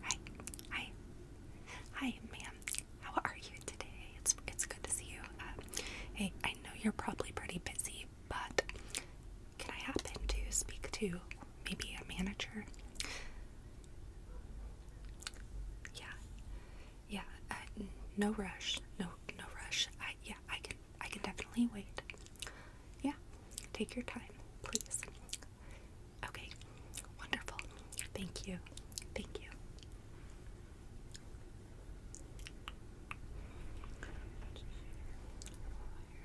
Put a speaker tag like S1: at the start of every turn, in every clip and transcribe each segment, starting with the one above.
S1: Hi, hi, hi, ma'am. How are you today? It's it's good to see you. Um, hey, I know you're probably pretty busy, but can I happen to speak to maybe a manager? Yeah, yeah. Uh, no rush. No, no rush. I, yeah, I can I can definitely wait. Yeah, take your time, please. Okay, wonderful. Thank you. Thank you.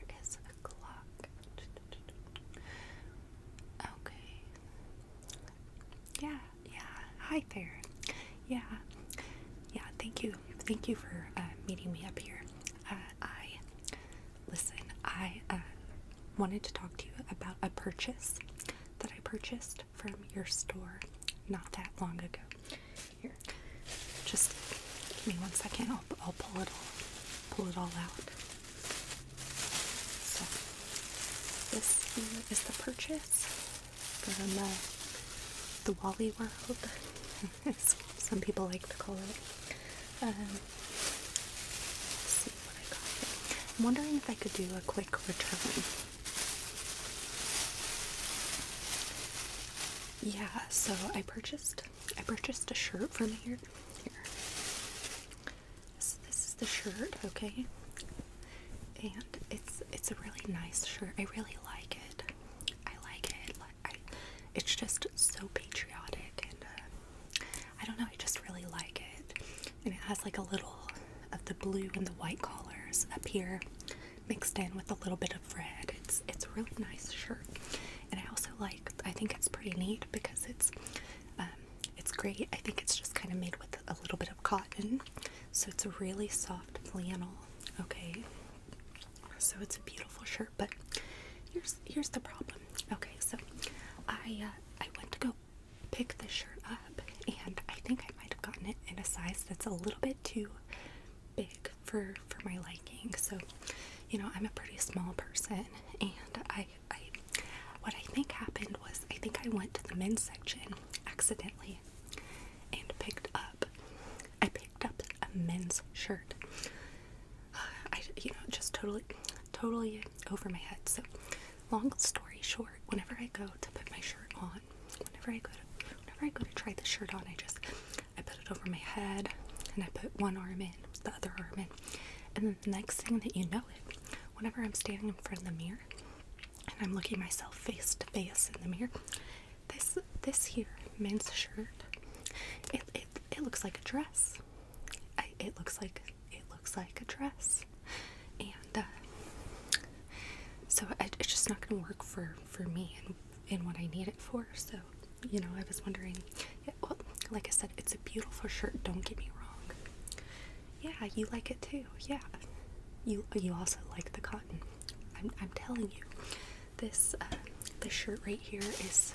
S1: Where is the clock? Okay. Yeah, yeah. Hi there. Yeah. Yeah, thank you Thank you for uh, meeting me up here. Uh, I listen. I uh, wanted to talk to you about a purchase that I purchased from your store not that long ago. Here, just give me one second. pull it all pull it all out. So this here is the purchase from uh, the Wally World. Some people like to call it. Um, see what I got I'm wondering if I could do a quick return. Yeah, so I purchased I purchased a shirt from here. Here. this is the shirt, okay? And it's it's a really nice shirt. I really like it. I like it it's just so patriotic, and uh, I don't know, I just really like it. And it has like a little of the blue and the white colors up here mixed in with a little bit of red. It's it's a really nice shirt, and I also like. I think it's pretty neat because it's um, it's great. I think it's just kind of made with a little bit of cotton, so it's a really soft flannel. Okay, so it's a beautiful shirt, but here's here's the problem. Okay, so I uh, I went to go pick this shirt up, and I think I might have gotten it in a size that's a little bit too big for for my liking. So, you know, I'm a pretty small person, and I I what I think happened was I think I went to the men's section accidentally and picked up I picked up a men's shirt. Uh, I, you know, just totally, totally over my head. So, long story short, whenever I go to put my shirt on, whenever I go whenever I go to try the shirt on, I just, I put it over my head, and I put one arm in, the other arm in, and then the next thing that you know it, whenever I'm standing in front of the mirror, and I'm looking myself face to face in the mirror, this this here men's shirt. It it it looks like a dress. it looks like it looks like a dress, and uh, so it's just not gonna work for for me and and what I need it for. So you know, I was wondering. well, like I said, it's a beautiful shirt. Don't get me wrong. Yeah, you like it too. Yeah, you you also like the cotton. I'm I'm telling you, this uh, this shirt right here is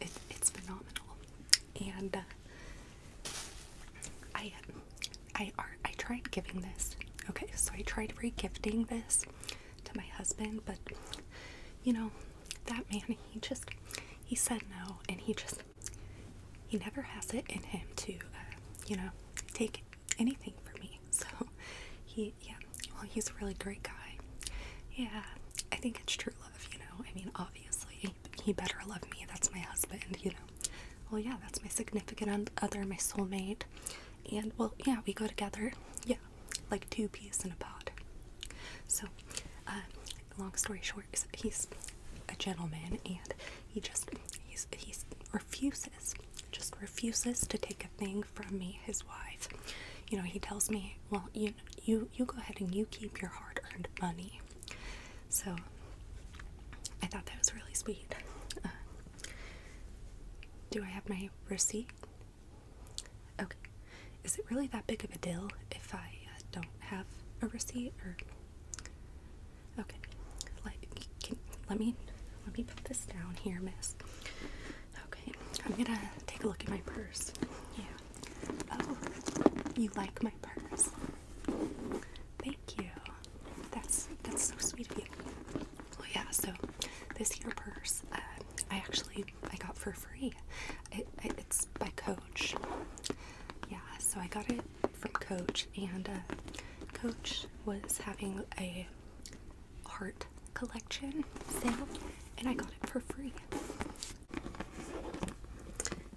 S1: it's phenomenal, and uh, I I tried giving this. Okay, so I tried regifting this to my husband, but you know that man he just he said no, and he just he never has it in him to uh, you know take anything for me. So he, yeah, well, he's a really great guy. Yeah, I think it's true love, you know. I mean, obviously, he better love me. That's my husband, you know. Well, yeah, that's my significant other, my soulmate. And well, yeah, we go together. Yeah, like two peas in a pod. So, uh, long story short, he's a gentleman and he just he's, he's refuses just refuses to take a thing from me his wife. You know, he tells me, well, you you you go ahead and you keep your hard-earned money. So I thought that was really sweet. Uh, do I have my receipt? Okay. Is it really that big of a deal if I uh, don't have a receipt or? Okay. let me let me put this down here, Miss. Okay, I'm gonna take a look at my purse. Yeah. Oh, you like my purse? Thank you. That's that's so sweet of you. Well, oh, yeah. So this here purse, uh, I actually I got for free. It, it's by Coach. Yeah. So I got it from Coach, and uh, Coach was having a art collection sale and I got it for free.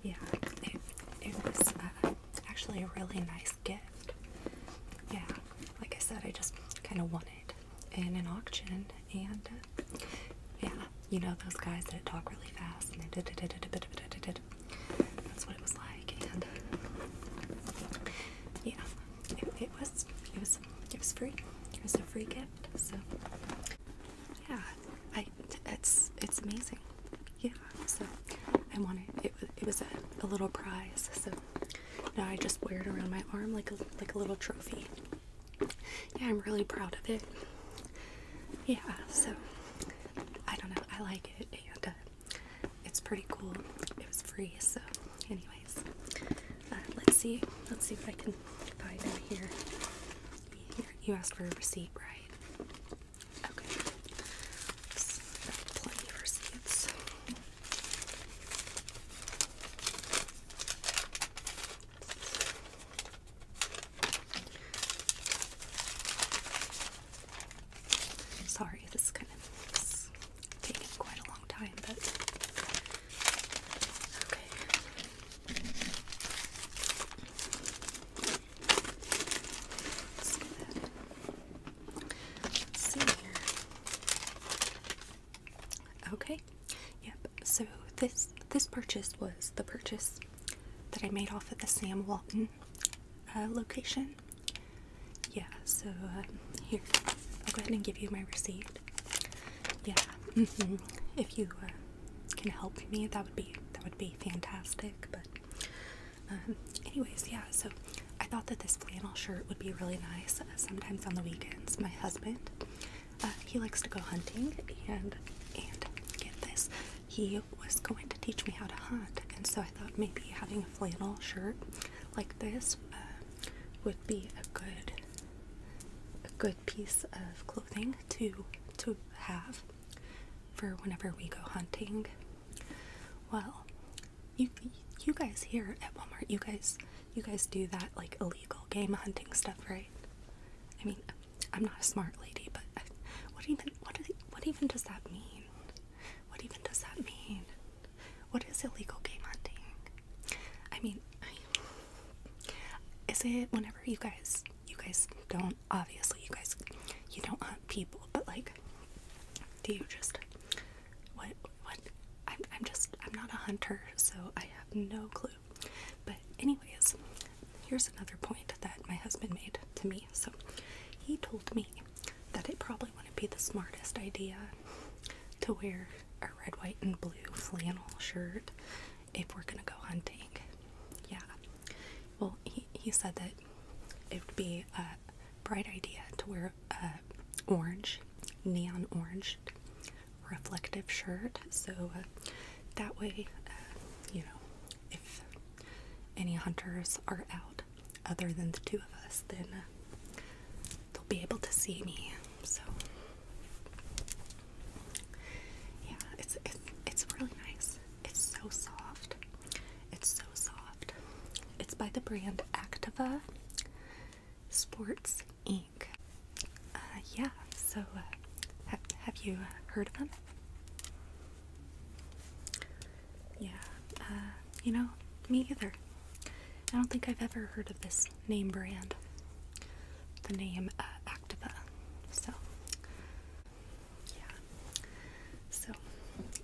S1: Yeah, it, it was uh, actually a really nice gift. Yeah, like I said, I just kind of won it in an auction and uh, yeah, you know those guys that talk really fast and da, da, da, da, da, da, da, da. that's what it was like and yeah, it, it was it was it was free. It was a free gift. So yeah, I it's it's amazing. Yeah, so I wanted it. It was a, a little prize. So now I just wear it around my arm like a like a little trophy. Yeah, I'm really proud of it. Yeah, so I don't know. I like it, and uh, it's pretty cool. It was free, so anyway, uh, let's see. Let's see if I can find it here. You asked for a receipt, right? Okay. plenty of receipts. Sorry, this is kind of taken quite a long time, but okay. Let's see here. Okay. Yep. So this this purchase was the purchase that I made off of the Sam Walton uh, location. Yeah, so uh, here, I'll go ahead and give you my receipt. Yeah, mm-hmm. if you uh, can help me, that would be that would be fantastic. But um, anyways, yeah. So I thought that this flannel shirt would be really nice. Uh, sometimes on the weekends, my husband he likes to go hunting and and get this. He was going to teach me how to hunt, and so I thought maybe having a flannel shirt like this would be a good a good piece of clothing to to have for whenever we go hunting. Well, you you guys here at Walmart, you guys you guys do that like illegal game hunting stuff, right? I mean, I'm not a smart lady, but what even what even does that mean? What even does that mean? What is illegal game hunting? I mean, is it whenever you guys, you guys don't, obviously, you guys, you don't hunt people, but like, do you just, what, what, I'm, I'm just, I'm not a hunter, so I have no clue. But, anyways, here's another point that my husband made to me. So, he told me that it probably wouldn't be the smartest idea to wear a red, white, and blue flannel shirt if we're gonna go hunting. Yeah. Well, he, he said that it would be a bright idea to wear a orange, neon orange reflective shirt. So uh, that way, uh, you know, if any hunters are out other than the two of us, then uh, they'll be able to see me. So yeah, it's it's it's really nice. It's so soft. It's so soft. It's by the brand Activa Sports Inc. Uh, yeah, so uh, have have you heard of them? Yeah, uh, you know, me either. I don't think I've ever heard of this name brand, the name uh, Activa. So, yeah. So,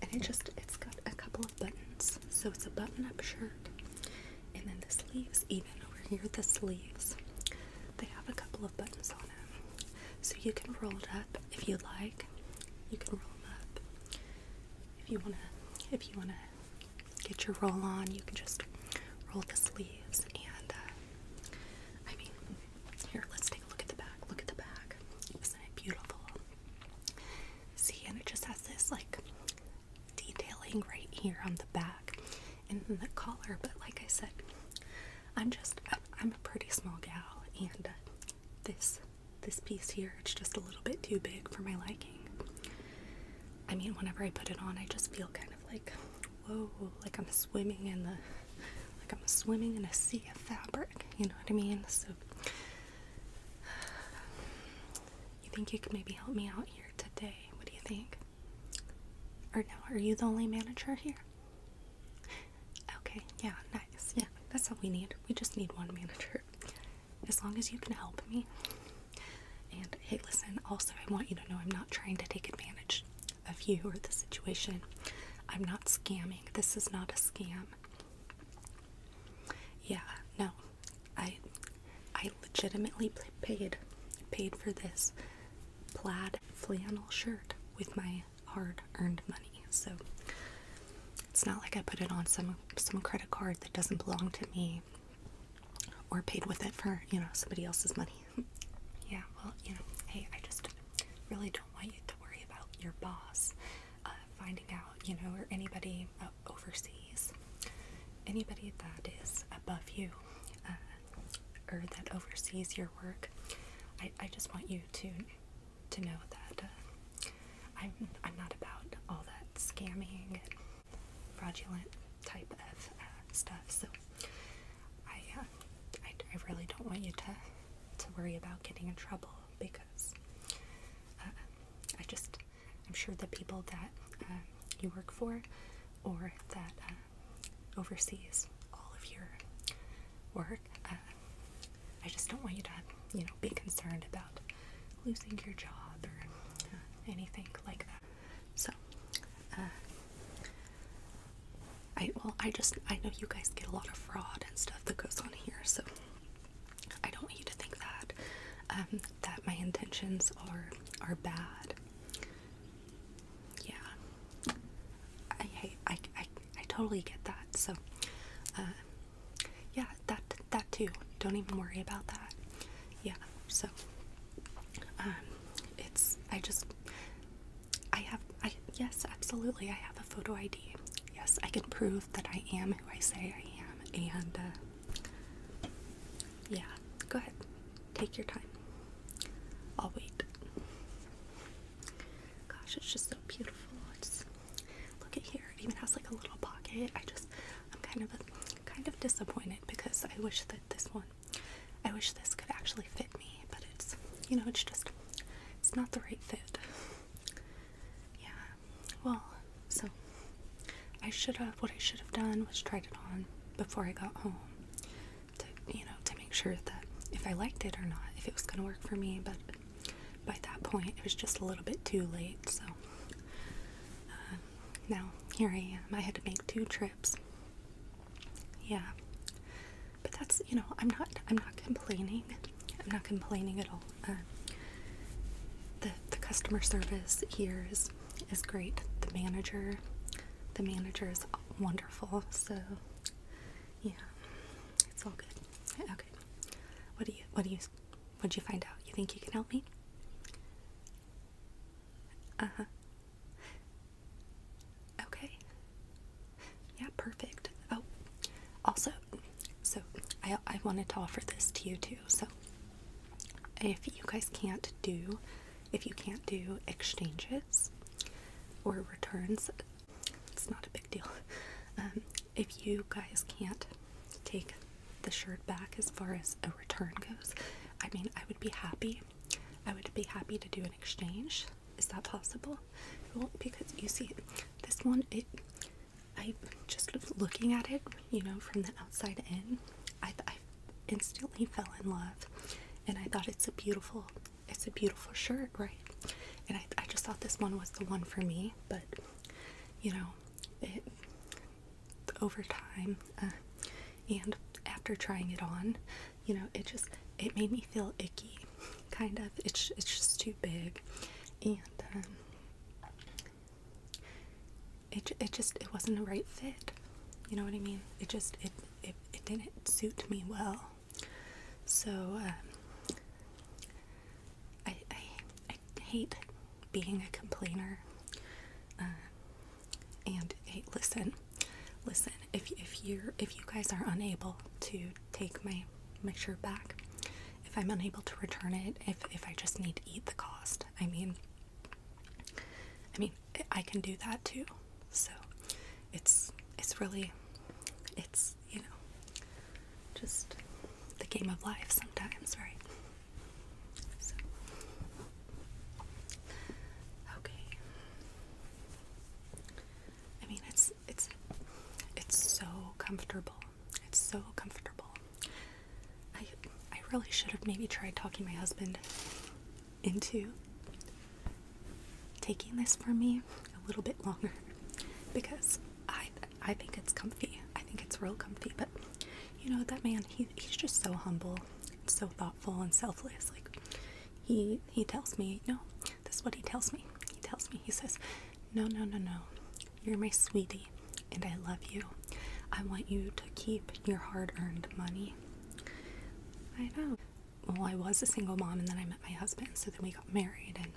S1: and it just, it's got a couple of buttons. So, it's a button up shirt. And then the sleeves, even over here, the sleeves, they have a couple of buttons on them. So, you can roll it up if you like. You can roll it up if you want to, if you want to get your roll on. You can just roll the sleeves, and uh, I mean, here, let's take a look at the back. Look at the back. Isn't it beautiful? See, and it just has this like detailing right here on the back and the collar. But like I said, I'm just I'm, a pretty small gal, and uh, this this piece here it's just a little bit too big for my liking. I mean, whenever I put it on, I just feel kind of like, whoa, like I'm swimming in the, like I'm swimming in a sea of fabric. You know what I mean? So, you think you could maybe help me out here today? What do you think? Or no, are you the only manager here? Okay, yeah, nice. Yeah, that's all we need. We just need one manager as long as you can help me. And hey, listen, also, I want you to know I'm not trying to take advantage of you or the situation. I'm not scamming. This is not a scam. Yeah, no. I I legitimately paid paid for this plaid flannel shirt with my hard-earned money. So it's not like I put it on some some credit card that doesn't belong to me or paid with it for you know somebody else's money. yeah, well, you know, hey, I just really don't want you to worry about your boss uh, finding out, you know, or anybody uh, overseas, anybody that is above you, uh, or that oversees your work. I, I just want you to to know that I'm I'm not about all that scamming fraudulent type of uh, stuff. So uh, I, I, really don't want you to, to worry about getting in trouble because uh, I just, I'm sure the people that you work for or that oversees all of your work, I just don't want you to, you know, be concerned about losing your job or uh, anything like that. So, uh, I well, I just I know you guys get a lot of fraud and stuff that goes on here, so I don't want you to think that um, that my intentions are are bad. Yeah, I I I I totally get that. So, uh, yeah that that too don't even worry about that yeah so um it's i just i have i yes absolutely i have a photo id yes i can prove that i am who i say i am and uh yeah go ahead take your time i'll wait gosh it's just so beautiful it's, look at here it even has like a little pocket i just I'm kind of kind of disappointed because I wish that this one, I wish this could actually fit me, but it's you know it's just it's not the right fit. Yeah. Well, so I should have what I should have done was tried it on before I got home to you know to make sure that if I liked it or not, if it was gonna work for me, but by that point it was just a little bit too late, so. Um, now, here I am. I had to make two trips. Yeah. But that's, you know, I'm not I'm not complaining. I'm not complaining at all. Uh, the the customer service here is is great. The manager the manager is wonderful. So, yeah. It's all good. Okay. What do you what do you What'd you find out? You think you can help me? Uh huh. Okay. Yeah, perfect. Oh, also, so I, I wanted to offer this to you too. So, if you guys can't do, if you can't do exchanges or returns, it's not a big deal. Um, if you guys can't take the shirt back as far as a return goes. I mean, I would be happy. I would be happy to do an exchange. Is that possible? Well, because you see, this one, it, I just looking at it, you know, from the outside in, I, instantly fell in love, and I thought it's a beautiful, it's a beautiful shirt, right? And I, I just thought this one was the one for me, but you know, it, over time uh, and after trying it on you know it just it made me feel icky kind of it's, it's just too big and um, it, it just it wasn't the right fit you know what i mean it just it it, it didn't suit me well so um, I, I i hate being a complainer. Uh, and hey, listen, listen. If if you if you guys are unable to take my my shirt back, if I'm unable to return it, if if I just need to eat the cost, I mean, I mean, I can do that too. So, it's it's really, it's you know, just the game of life sometimes, right? Okay. I mean, it's it's it's so comfortable. It's so comfortable. I I really should have maybe tried talking my husband into taking this for me a little bit longer because I I think it's comfy. I think it's real comfy, but you know that man he, he's just so humble so thoughtful and selfless like he he tells me no this is what he tells me he tells me he says no no no no you're my sweetie and i love you i want you to keep your hard-earned money i know well i was a single mom and then i met my husband so then we got married and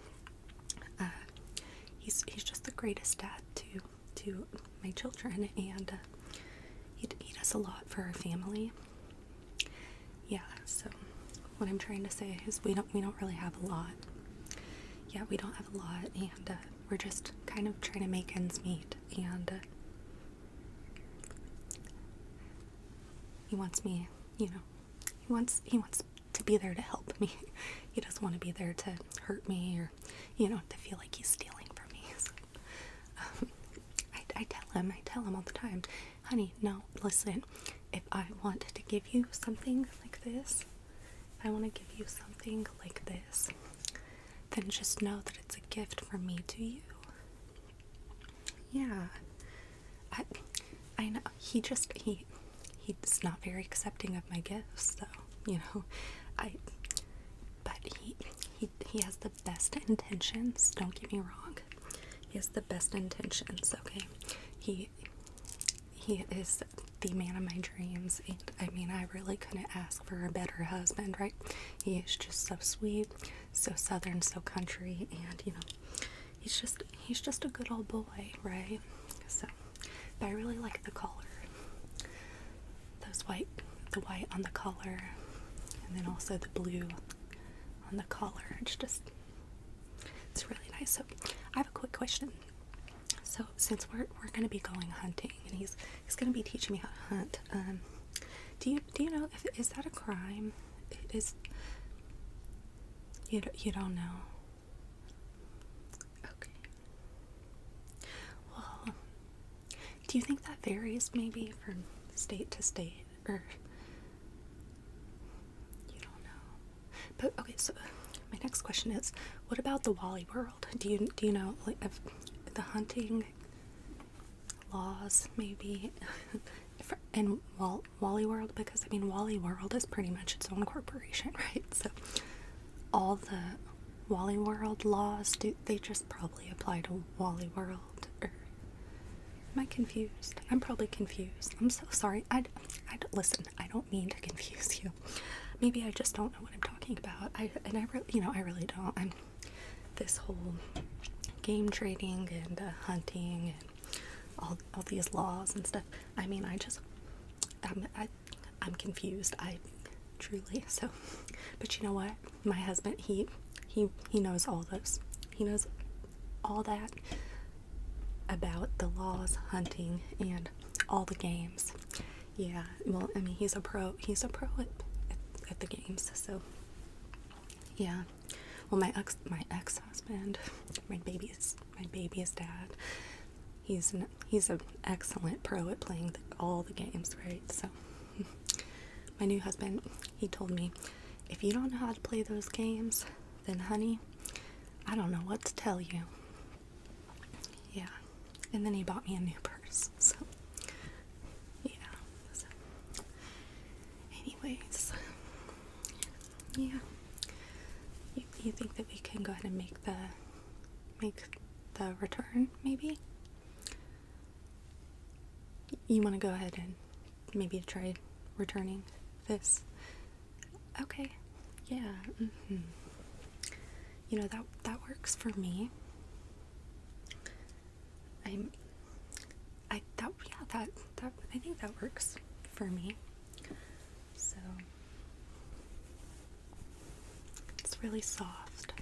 S1: uh, he's he's just the greatest dad too to my children, and uh, he, he us a lot for our family. Yeah, so what I'm trying to say is we don't we don't really have a lot. Yeah, we don't have a lot, and uh, we're just kind of trying to make ends meet. And uh, he wants me, you know, he wants he wants to be there to help me. he doesn't want to be there to hurt me or you know, to feel like he's stealing from me. Um, I, tell him, I tell him all the time, honey, no, listen, if I want to give you something like this, if I want to give you something like this, then just know that it's a gift from me to you. Yeah. I, I know. He just, he, he's not very accepting of my gifts so you know i but he he he has the best intentions don't get me wrong he has the best intentions okay he he is the man of my dreams and i mean i really couldn't ask for a better husband right he is just so sweet so southern so country and you know he's just he's just a good old boy right so but I really like the collar. Those white, the white on the collar, and then also the blue on the collar. It's just, it's really nice. So I have a quick question. So since we're we're gonna be going hunting, and he's he's gonna be teaching me how to hunt. Um, do you do you know if is that a crime? Is you you don't know? Okay. Well, do you think that varies maybe from state to state? Or. You don't know. But okay, so my next question is what about the Wally World? Do you, do you know, the hunting laws maybe in Wally World because I mean Wally World is pretty much its own corporation, right? So all the Wally World laws do they just probably apply to Wally World or am I confused? I'm probably confused. I'm so sorry. I I listen. I don't mean to confuse you. Maybe I just don't know what I'm talking about. I and I really you know I really don't. I'm this whole game trading and uh, hunting and all all these laws and stuff. I mean I just. Um, I, I'm confused. I truly so but you know what? My husband he he he knows all those. He knows all that about the laws, hunting and all the games. Yeah, well I mean he's a pro he's a pro at the games, so yeah. Well my ex my ex husband, my baby's my baby's dad, he's an, he's an excellent pro at playing all the games, right? So my new husband, he told me, if you don't know how to play those games, then honey, I don't know what to tell you. Yeah. And then he bought me a new purse. So yeah. Anyways, yeah. You, you think that we can go ahead and make the make the return, maybe. You want to go ahead and maybe try returning this. Okay, yeah. Mm-hmm. You know that that works for me. I'm. I that yeah that that I think that works for me. So it's really soft.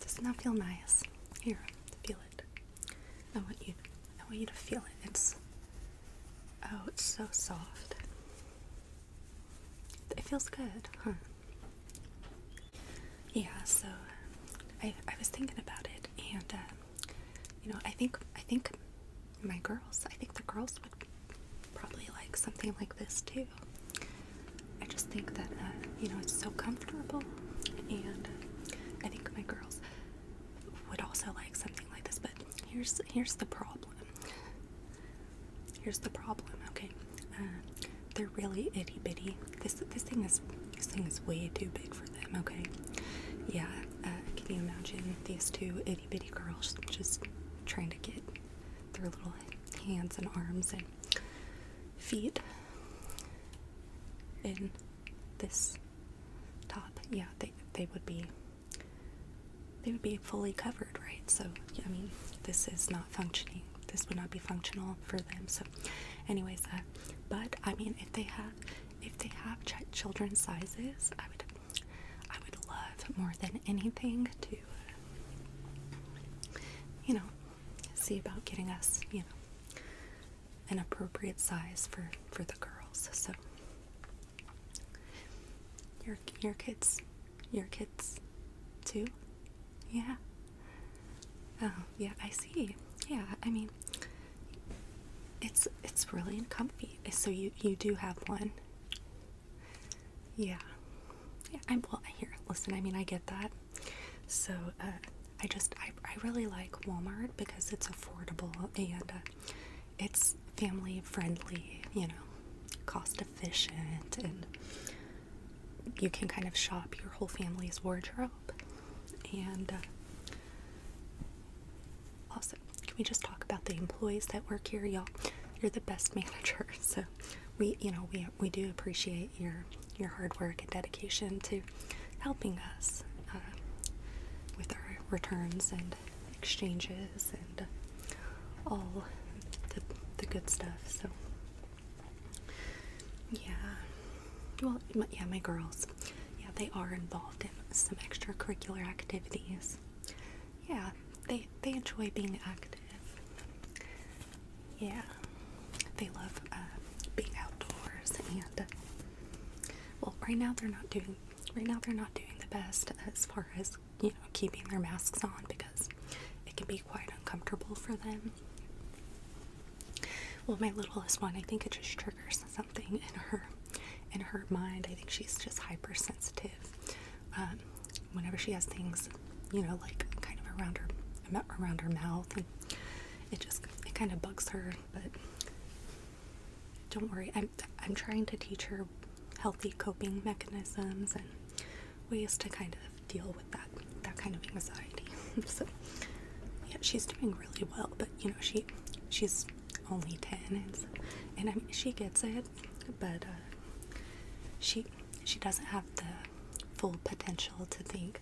S1: Doesn't that feel nice? Here, feel it. I want you I want you to feel it. It's oh, it's so soft. It feels good, huh? Yeah, so I, I was thinking about it and uh, you know I think I think my girls. I think the girls would probably like something like this too. I just think that, uh, you know, it's so comfortable, and I think my girls would also like something like this. But here's here's the problem. Here's the problem. Okay, uh, they're really itty bitty. This this thing is this thing is way too big for them. Okay, yeah. Uh, can you imagine these two itty bitty girls just trying to get their little hands and arms and feet in this top yeah they they would be they would be fully covered right so i mean this is not functioning this would not be functional for them so anyways uh, but i mean if they have if they have ch children's sizes i would I would love more than anything to, you know, see about getting us, you know, an appropriate size for for the girls. So your your kids, your kids, too. Yeah. Oh yeah, I see. Yeah, I mean, it's it's really comfy. So you you do have one. Yeah. Yeah, I'm well here. Listen, I mean, I get that. So, uh, I just, I, I really like Walmart because it's affordable and uh, it's family friendly, you know, cost efficient, and you can kind of shop your whole family's wardrobe. And uh, also, can we just talk about the employees that work here, y'all? You're the best manager, so we, you know, we we do appreciate your your hard work and dedication to helping us uh, with our returns and exchanges and all the the good stuff. So yeah, well, my, yeah, my girls, yeah, they are involved in some extracurricular activities yeah, they they enjoy being active. Yeah, they love uh, being outdoors and well, right now they're not doing right now they're not doing the best as far as you know keeping their masks on because it can be quite uncomfortable for them. Well, my littlest one, I think it just triggers something in her in her mind. I think she's just hypersensitive um, whenever she has things, you know, like kind of around her around her mouth, and it just it kind of bugs her. But don't worry, I'm I'm trying to teach her healthy coping mechanisms and ways to kind of deal with that that kind of anxiety. so yeah, she's doing really well, but you know she she's only 10 and, and she gets it but uh, she she doesn't have the full potential to think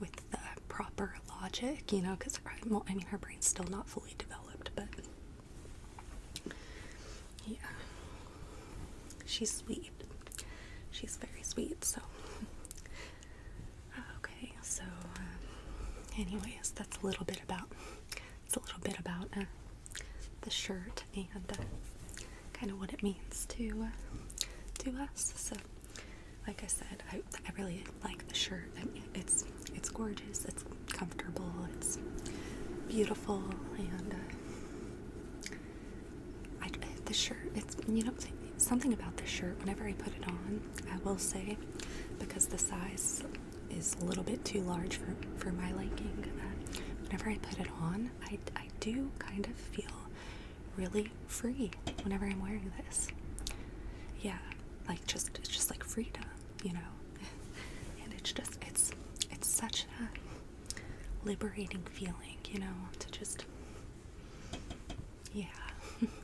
S1: with the proper logic, you know, because well, I mean her brain's still not fully developed, but yeah, she's sweet. She's very sweet. So okay, so um, anyways, that's a little bit about. It's a little bit about. Uh, the shirt and uh, kind of what it means to uh, to us. So, like I said, I, I really like the shirt. it's it's gorgeous. It's comfortable. It's beautiful, and uh, the shirt. It's you know something about the shirt. Whenever I put it on, I will say because the size is a little bit too large for, for my liking. Uh, whenever I put it on, I, I do kind of feel really free whenever I'm wearing this. Yeah, like just it's just like freedom, you know. and it's just it's it's such a liberating feeling, you know, to just yeah.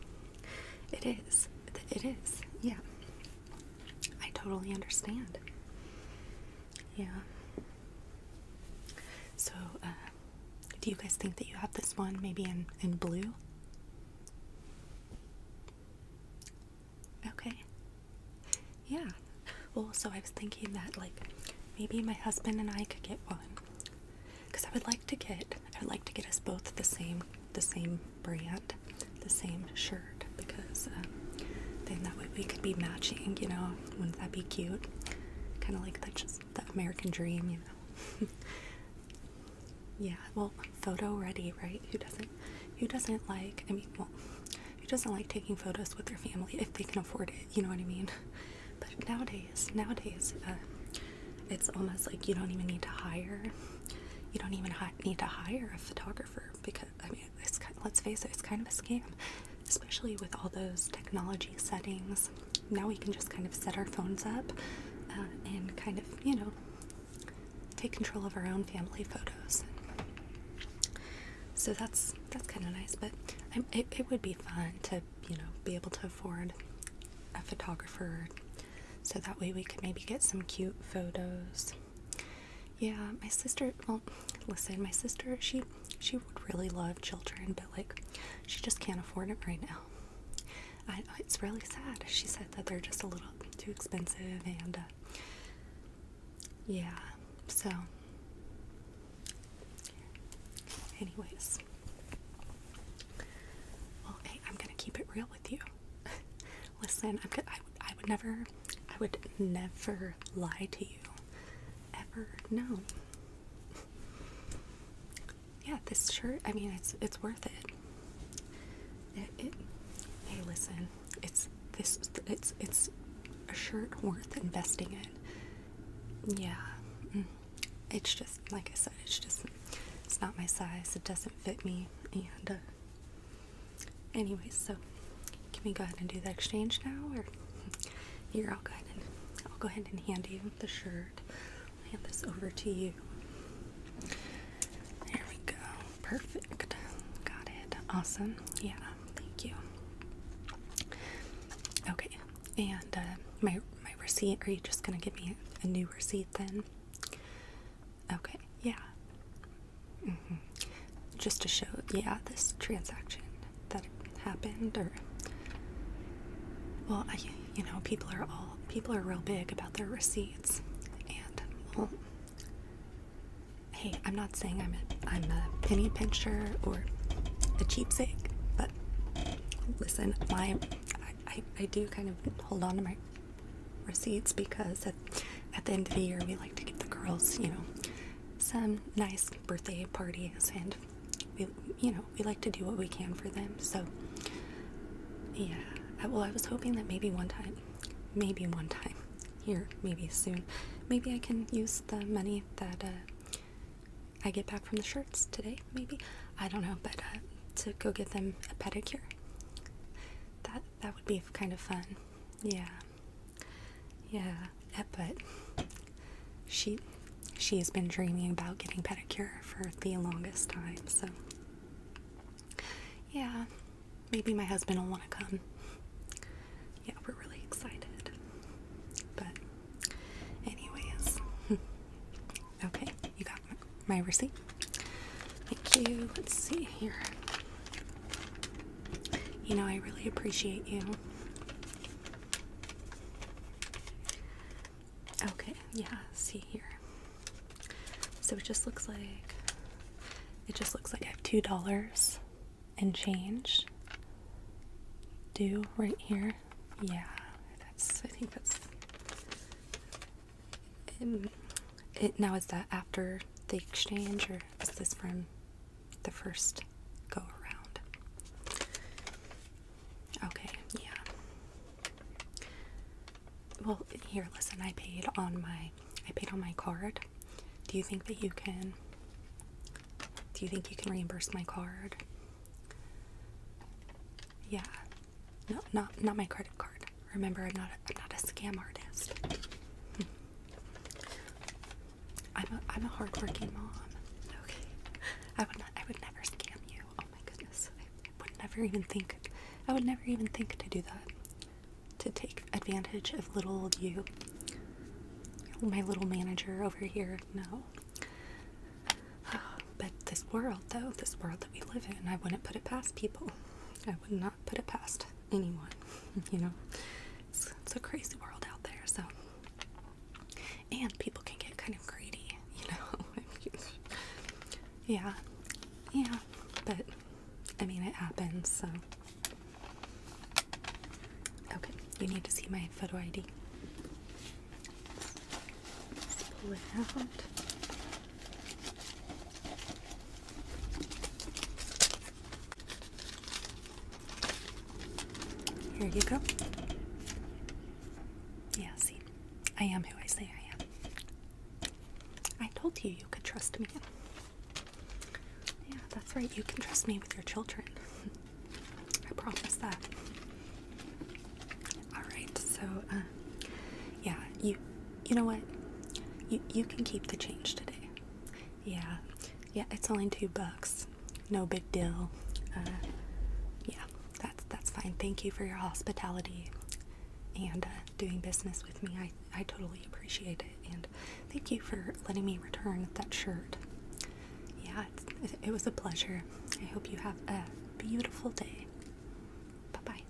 S1: it is. It is. Yeah. I totally understand. Yeah. So, uh, do you guys think that you have this one maybe in, in blue? Okay. Yeah. Well, so I was thinking that, like, maybe my husband and I could get one. Because I would like to get, I would like to get us both the same, the same brand the same shirt because um, then that way we could be matching, you know. Wouldn't that be cute? Kind of like that, just the American dream, you know. yeah, well, photo ready, right? Who doesn't? Who doesn't like? I mean, who doesn't like taking photos with their family if they can afford it? You know what I mean? But nowadays, nowadays, uh, it's almost like you don't even need to hire. You don't even need to hire a photographer because I mean, let's face it, it's kind of a scam, especially with all those technology settings. Now we can just kind of set our phones up uh, and kind of, you know, take control of our own family photos. So that's that's kind of nice, but it, it would be fun to, you know, be able to afford a photographer so that way we could maybe get some cute photos yeah my sister well listen my sister she she would really love children but like she just can't afford it right now I, it's really sad she said that they're just a little too expensive and uh, yeah so anyways well hey i'm gonna keep it real with you Listen, I'm I, would never, I would never lie to you. Ever. No. Yeah, this shirt, I mean, it's it's worth it. It, Hey, listen. It's this. It's it's a shirt worth investing in. Yeah. Mm. It's just like I said. It's just it's not my size. It doesn't fit me, and uh, Anyways, so can we go ahead and do the exchange now? Or you're all good? I'll go ahead and hand you the shirt. I'll hand this over to you. There we go. Perfect. Got it. Awesome. Yeah. Thank you. Okay. And uh, my my receipt. Are you just gonna give me a new receipt then? Okay, yeah. Mm -hmm. Just to show, yeah, this transaction that happened, or well, I, you know, people are all people are real big about their receipts, and well, hey, I'm not saying I'm a I'm a penny pincher or a cheapsake, but listen, my I, I do kind of hold on to my receipts because at the end of the year, we like to give the girls, you know, some nice birthday parties, and we, you know, we like to do what we can for them. So, yeah. well, I was hoping that maybe one time, maybe one time here, maybe soon, maybe I can use the money that uh, I get back from the shirts today. Maybe I don't know, but uh, to go get them a pedicure. That that would be kind of fun. Yeah. Yeah, eh, but she she has been dreaming about getting pedicure for the longest time. So yeah, maybe my husband will want to come. Yeah, we're really excited. But anyways, okay, you got my receipt. Thank you. Let's see here. You know, I really appreciate you. Okay, yeah, see here. So it just looks like it just looks like I have two dollars and change due right here. Yeah, that's I think that's um, it now is that after the exchange, or is this from the first go around? Okay, yeah. Well, here, listen. I paid on my, I paid on my card. Do you think that you can? Do you think you can reimburse my card? Yeah. No, not not my credit card. Remember, I'm not a scam artist. I'm a I'm a hardworking mom. Okay, I would not I would never scam you. Oh my goodness, I would never even think I would never even think to do that. To take advantage of little you, my little manager over here. No. But this world, though, this world that we live in, I wouldn't put it past people. I wouldn't put it past anyone, you know. It's, a crazy world out there, so. And people can get kind of greedy, you know. yeah, yeah, but I mean, it happens, so. Okay, you need to see my photo ID. pull it out. Here you go. Yeah, see, I am who I say I am. I told you you could trust me. Yeah, that's right, you can trust me with your children. I promise that. Alright, so, uh, yeah, you, you know what? You, you can keep the change today. Yeah, yeah, it's only two bucks. No big deal. Uh, yeah, that's that's fine. Thank you for your hospitality and uh, doing business with me. I I totally appreciate it, and thank you for letting me return that shirt. Yeah, it was a pleasure. I hope you have a beautiful day. Bye bye.